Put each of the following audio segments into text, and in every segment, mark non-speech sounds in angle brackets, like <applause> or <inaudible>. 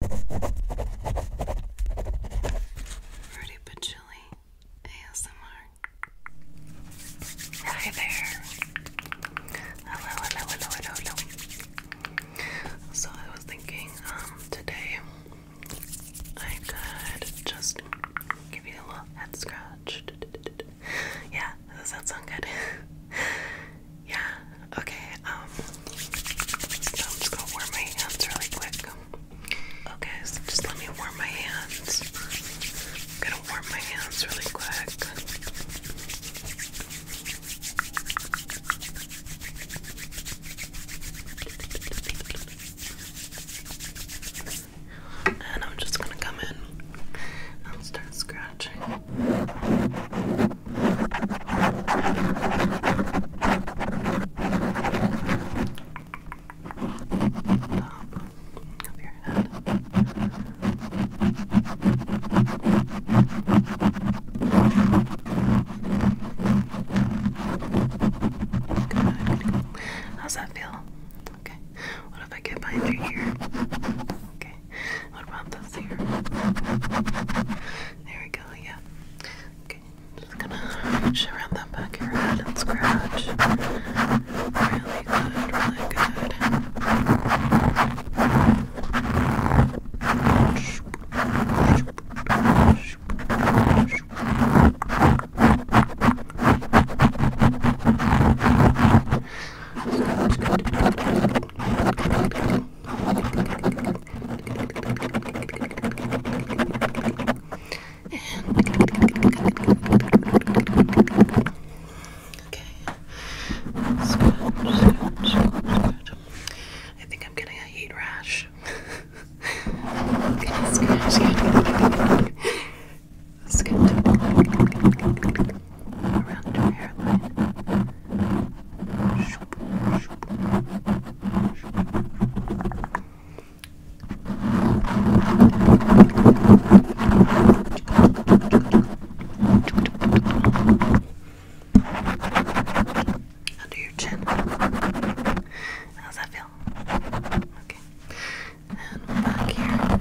Fruity but ASMR. Hi there. Hello, hello, hello, hello, hello. So I was thinking, um, today I could just give you a little head scratch. <laughs> Yeah, does that sound good? <laughs> Yeah, okay, um, I'm just gonna warm my hands really quick. Okay, so just let me warm my hands. I'm gonna warm my hands really quick. And I'm just gonna come in and start scratching of your head. Good. How's that feel? Okay. What if I get behind your ear? Okay. What about this ear? There we go yeah. Okay, just gonna reach around that back of your head and scratch. Really good, really good. Scratch, good. Okay. Scratch, scratch, scratch. I think I'm getting a heat rash. <laughs> okay, scratch, scratch. Let's get around your hairline. Under your chin. How's that feel? Okay. And back here.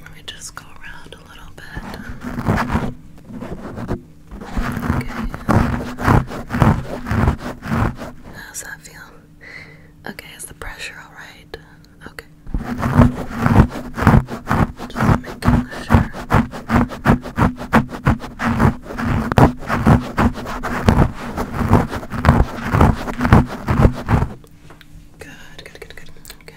Let me just go around a little bit. Okay. How's that feel? Okay, is the pressure alright? Okay. Just making sure. Good, good, good, good. Okay.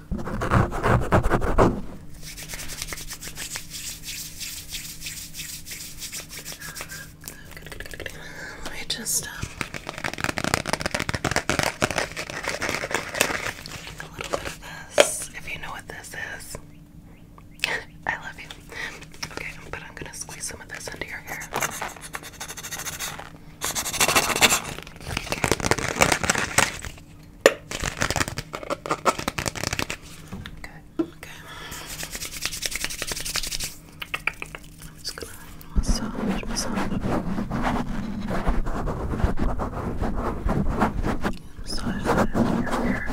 I just um, a little bit of this. If you know what this is, <laughs> I love you. Okay, but I'm gonna squeeze some of this into your hair. Okay, okay. just gonna massage, massage. Massage that area here.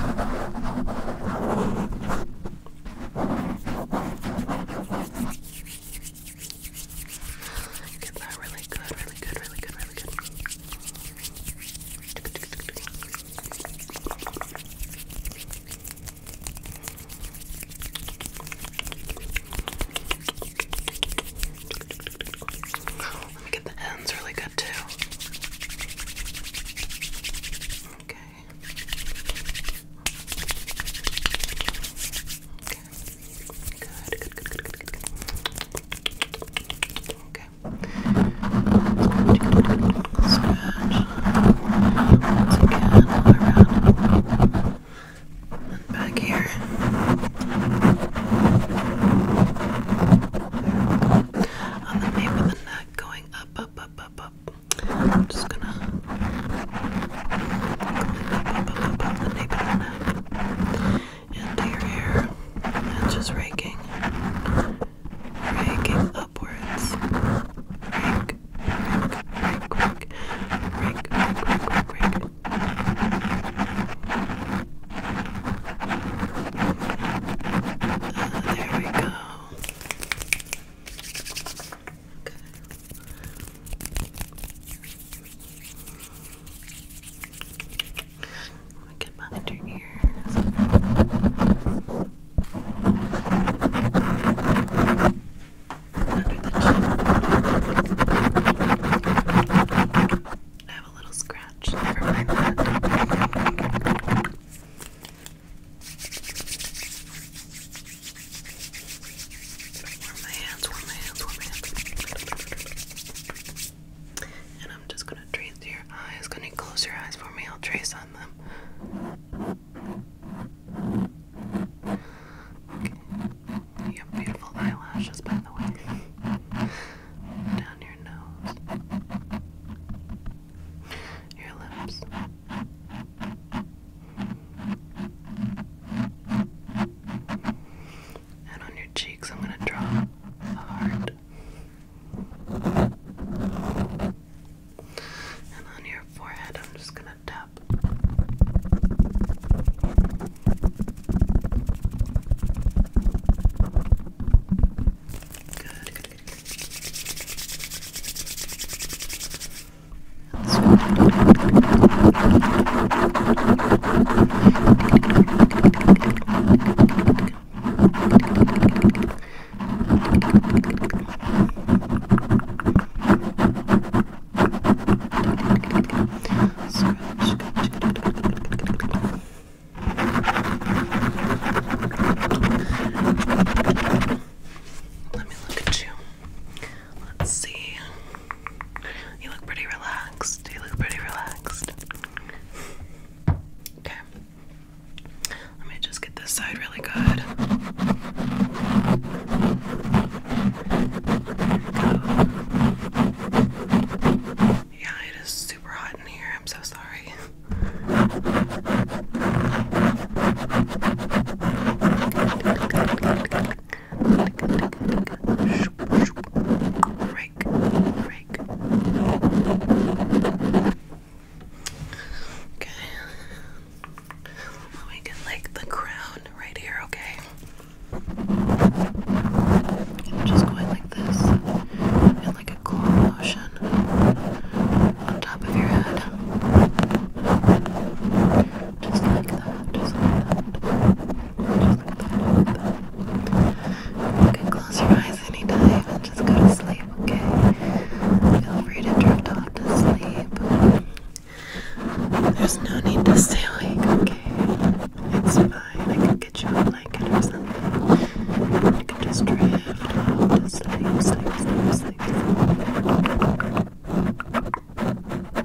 Get that really good, really good, really good, really good. Let me get the ends really good too. Okay. Okay. Good, around. And back here. On the nape of the neck, going up, up, up, up, up. I'm just gonna going up, up, up, up, up the nape of the neck into your hair and just raking, raking upwards. Rake, rake, rake, rake, rake, rake, rake, rake, rake. Uh, there we go. Okay. We can behind your ears. Under the chin. I have a little scratch. Never mind that. Warm my hands, warm my hands, warm my hands. And I'm just gonna trace your eyes. Can you close your eyes for me? I'll trace on them. Okay. beautiful eyelashes, by the way. Down your nose. Your lips. And on your cheeks, I'm going to draw a heart. And on your forehead, I'm just going to tap. Good, let me look at you. Let's see. You look pretty relaxed. You look pretty relaxed. Okay. Let me just get this side really good. Yeah, it is super hot in here. I'm so sorry. Rake, rake. Okay. Let me get like the crown right here, okay? I'm just going like this in like a cool motion on top of your head that, just like that, just like that. You can close your eyes anytime and just go to sleep, okay? Feel free to drift off to sleep. There's no need to stay awake, okay? It's fine. I can get you a blanket or something. You can just drift off to sleep, sleep, sleep. sleep.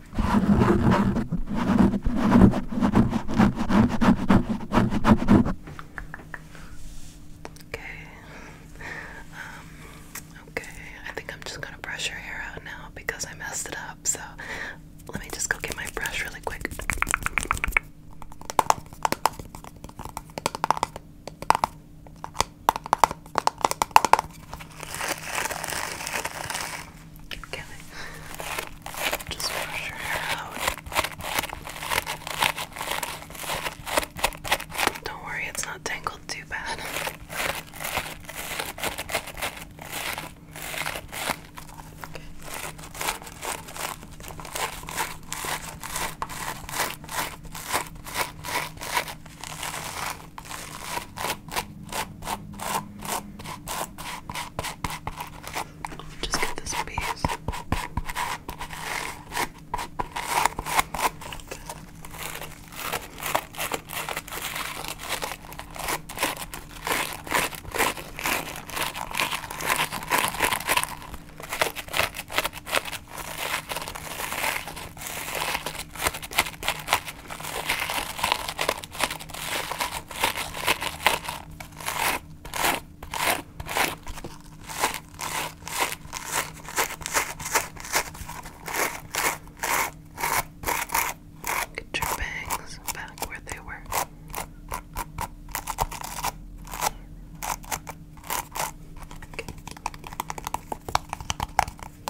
Okay. Um, okay. I think I'm just gonna brush your hair out now because I messed it up. So let me just go get my brush really quick. Okay. Just brush your hair out. Don't worry, it's not tangled too bad. Just get this piece. Okay. Get your bangs back where they were. Okay. Good,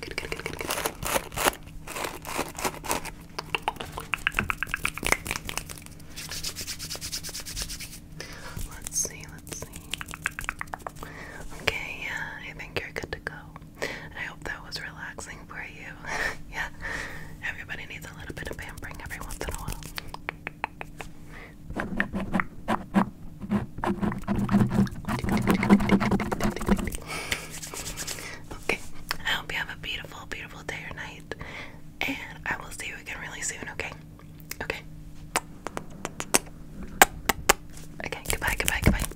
good, good, good, good, good. Let's see, let's see. Okay, yeah, I think you're good to go. I hope that was relaxing for you. <laughs> yeah, everybody needs a little bit of pampering every once in a while. Okay, I hope you have a beautiful, beautiful day or night. And I will see you again really soon, okay? Okay. Okay, goodbye, goodbye, goodbye.